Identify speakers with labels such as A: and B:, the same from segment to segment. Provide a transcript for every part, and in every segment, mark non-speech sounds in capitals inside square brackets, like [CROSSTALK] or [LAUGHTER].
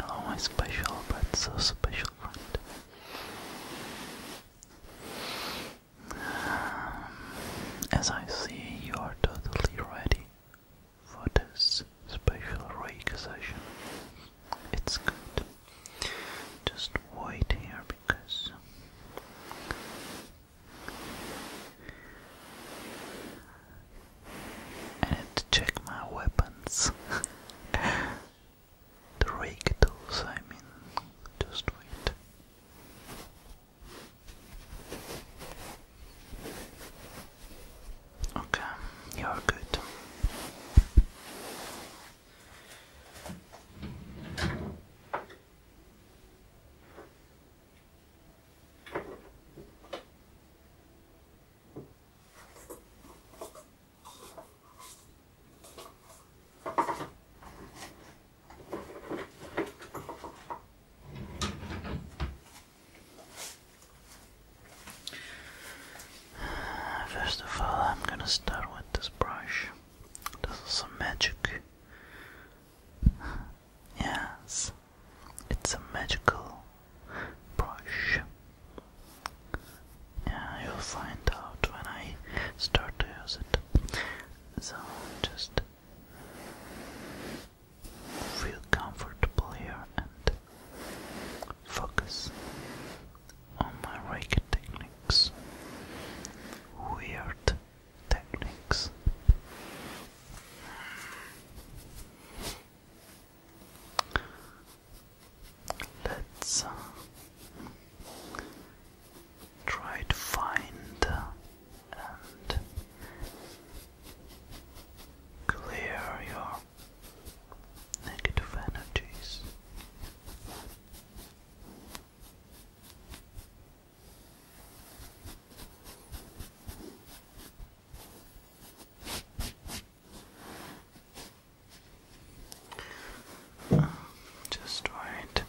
A: Hello, oh, my special but so special friend. Um, as I see, you are totally ready for this special Reiki session. It's good. Just wait here because I need to check my weapons. [LAUGHS] the Reiki tools, I mean. Just wait. Okay, you're good. First of all, I'm gonna start with this brush. This is a magic. Yes, it's a magical brush. Yeah, you'll find out when I start to use it. So just Feel comfortable here and focus on my Reiki techniques, weird techniques. Let's uh, try to find uh, and clear your negative energies. Just wait.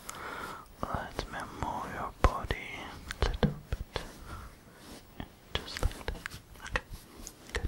A: Let me move your body a little bit. Just like that. Okay. Good.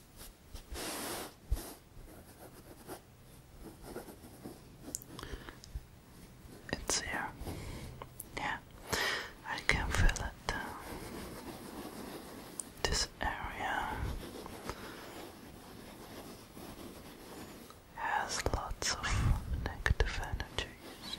A: It's here. Yeah, I can feel it. Uh, this area has
B: lots of negative energies.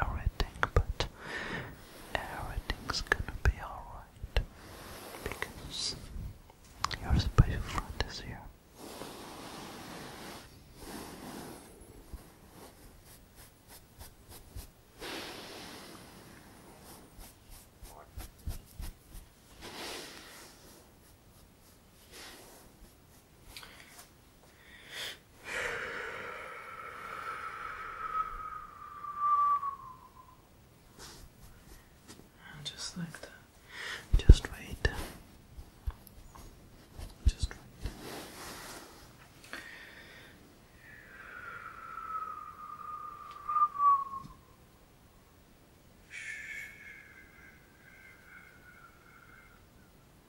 A: everything, but everything's gonna be alright because your special friend is here. [SIGHS] Just like that. Just wait. Just wait. [SIGHS]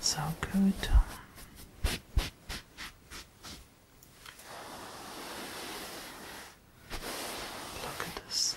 A: So good. Look
B: at this.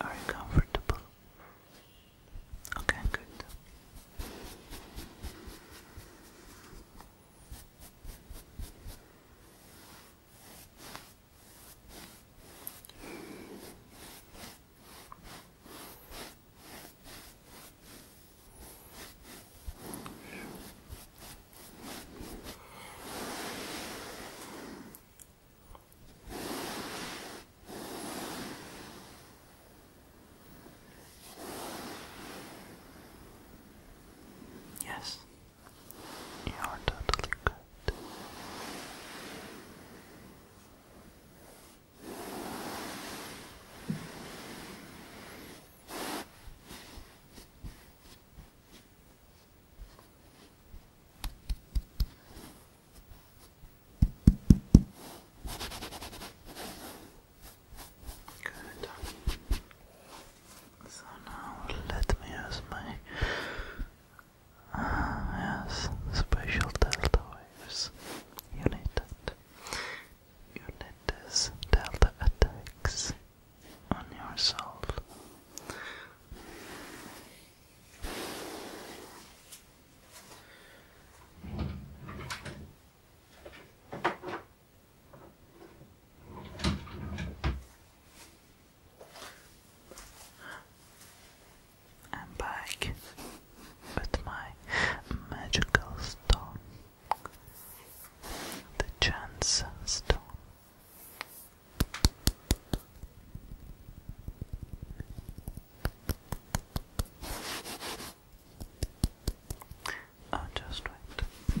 A: Are you comfortable? Okay, good. Yes, you are totally good. Good. So now let me use my uh, special delta waves. You need that. You need this delta attacks on yourself. I'm back with my magical stone, the chance stone. I uh, just wait.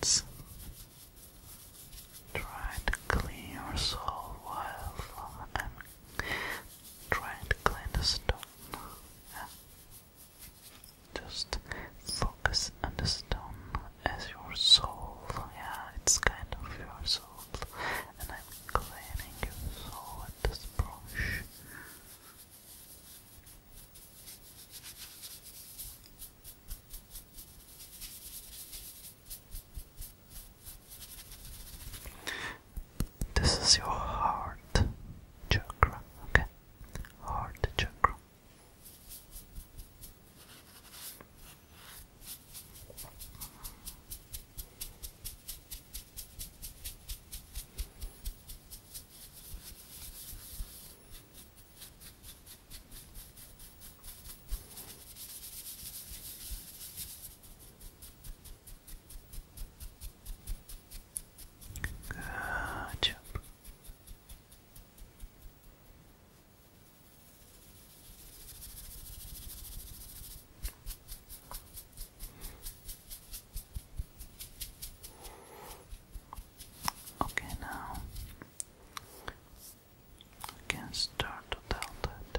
A: Let's try to clean your soul while and try and clandestine. Yeah. Just focus on the stone as your soul. Yeah, it's kind of your soul. And I'm cleaning your soul with this brush.
B: This is your heart chakra, okay? Heart chakra. Good job. Okay, now can start to tell the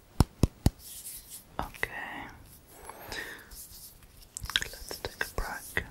B: Okay. Let's take a break.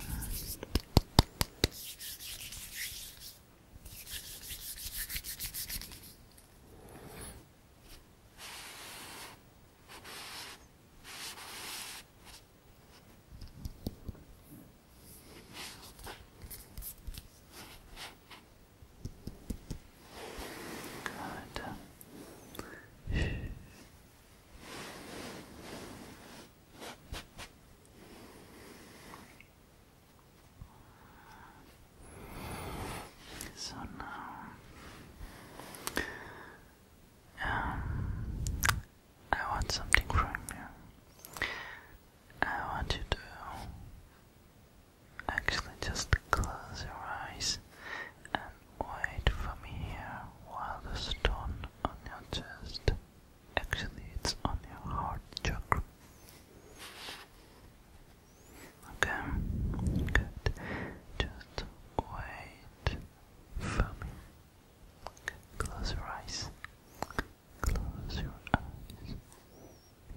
B: So now, um, I want something from you. I want you to Actually, just close your eyes and wait for me here while the stone on your chest. Actually, it's on your heart Chuck. Okay, good. Just wait for me. Close your eyes. Close your eyes.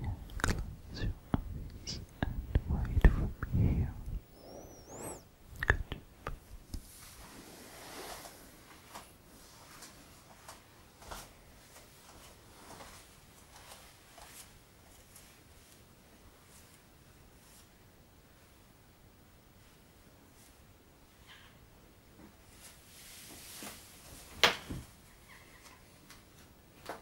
B: Now close your eyes and wait for here. Good.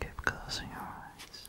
A: Keep closing your eyes.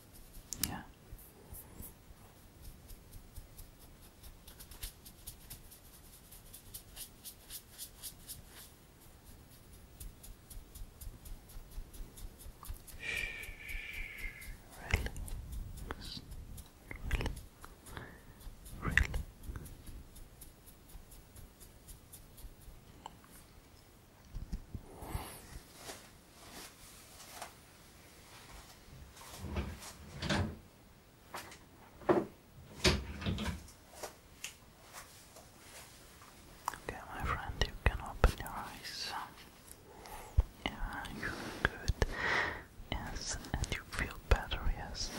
A: Yeah. Relax. Relax. Relax. Okay, my friend, you can open your eyes. Yeah, you feel good. Yes, and you feel better, yes.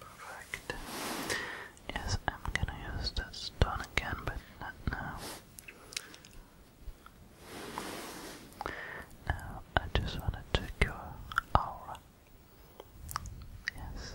A: Perfect. Yes, I'm gonna use that stone again, but not now. Now, I just want to check aura. Yes.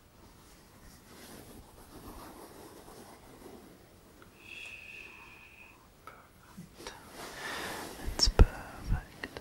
B: Perfect. It's perfect. Perfect.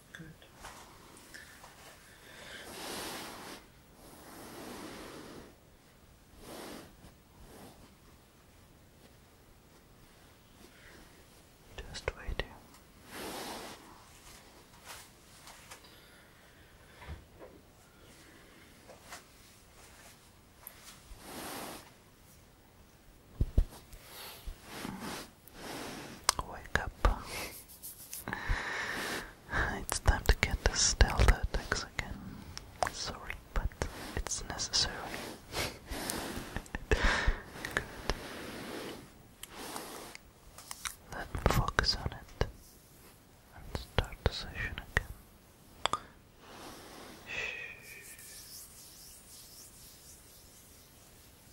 A: Good. Just waiting. Wake up. It's time to get the stealth again. Sorry, but it's necessary. Let me focus on it and start the session again. Shh.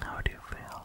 A: How do you feel?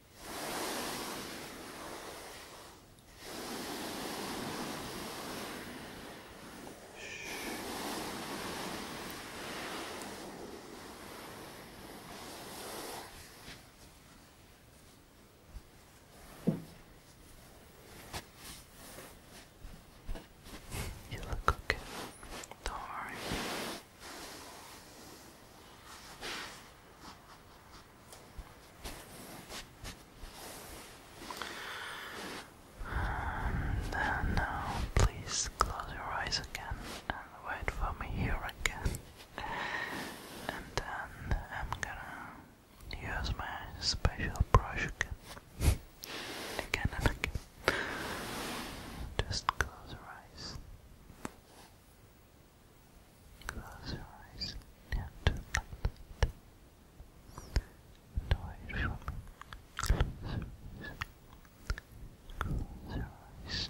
A: You look okay. Don't worry. And now, uh, please close your eyes again and wait for me here again. And then I'm gonna use my special brush again. [LAUGHS] again and again. Just close your eyes. Close your eyes and like that. And wait for me. Close your eyes.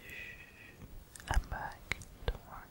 A: Shh, I'm back. Don't worry.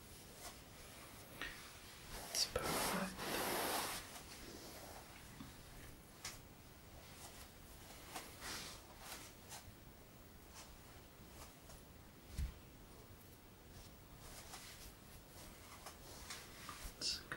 A: It's perfect. It's good.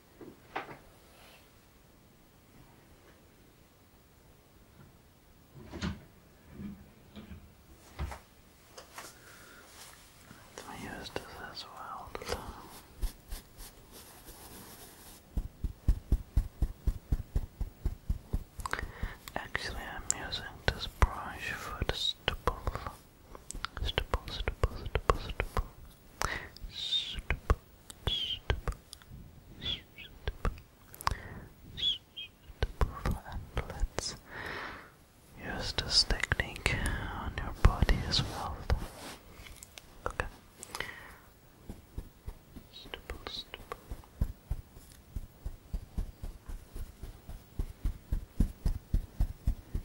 A: let use this as well. Actually, I'm using this brush for the stubble. Stipple, stipple, stipple, stipple. Stipple, stipple, stipple. Stipple, and let's use this technique on your body as well. Okay.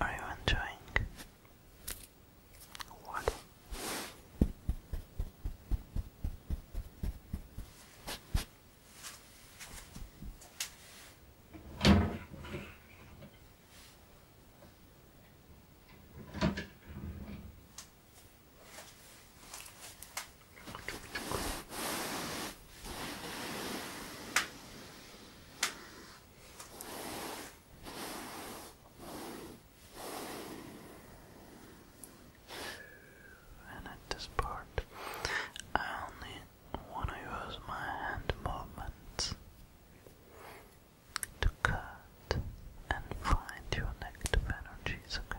A: Are you enjoying what? And at this part, I only want to use my hand movements to cut and find your negative energies, okay?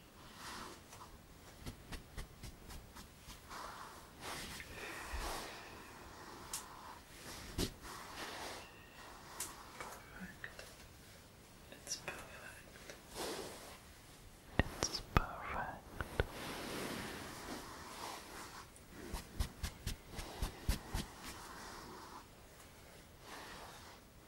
A: Perfect. It's perfect. It's perfect. Perfect.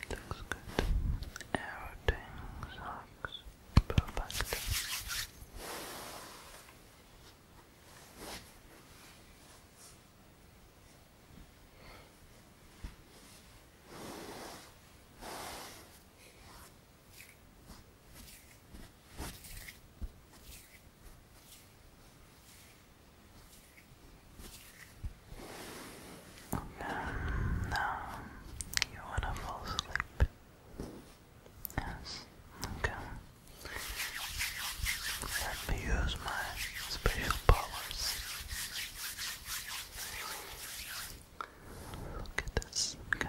A: It looks good. Everything looks perfect. And mm, you wanna fall asleep. Yes, okay. Let me use my special powers. Look at this. Okay.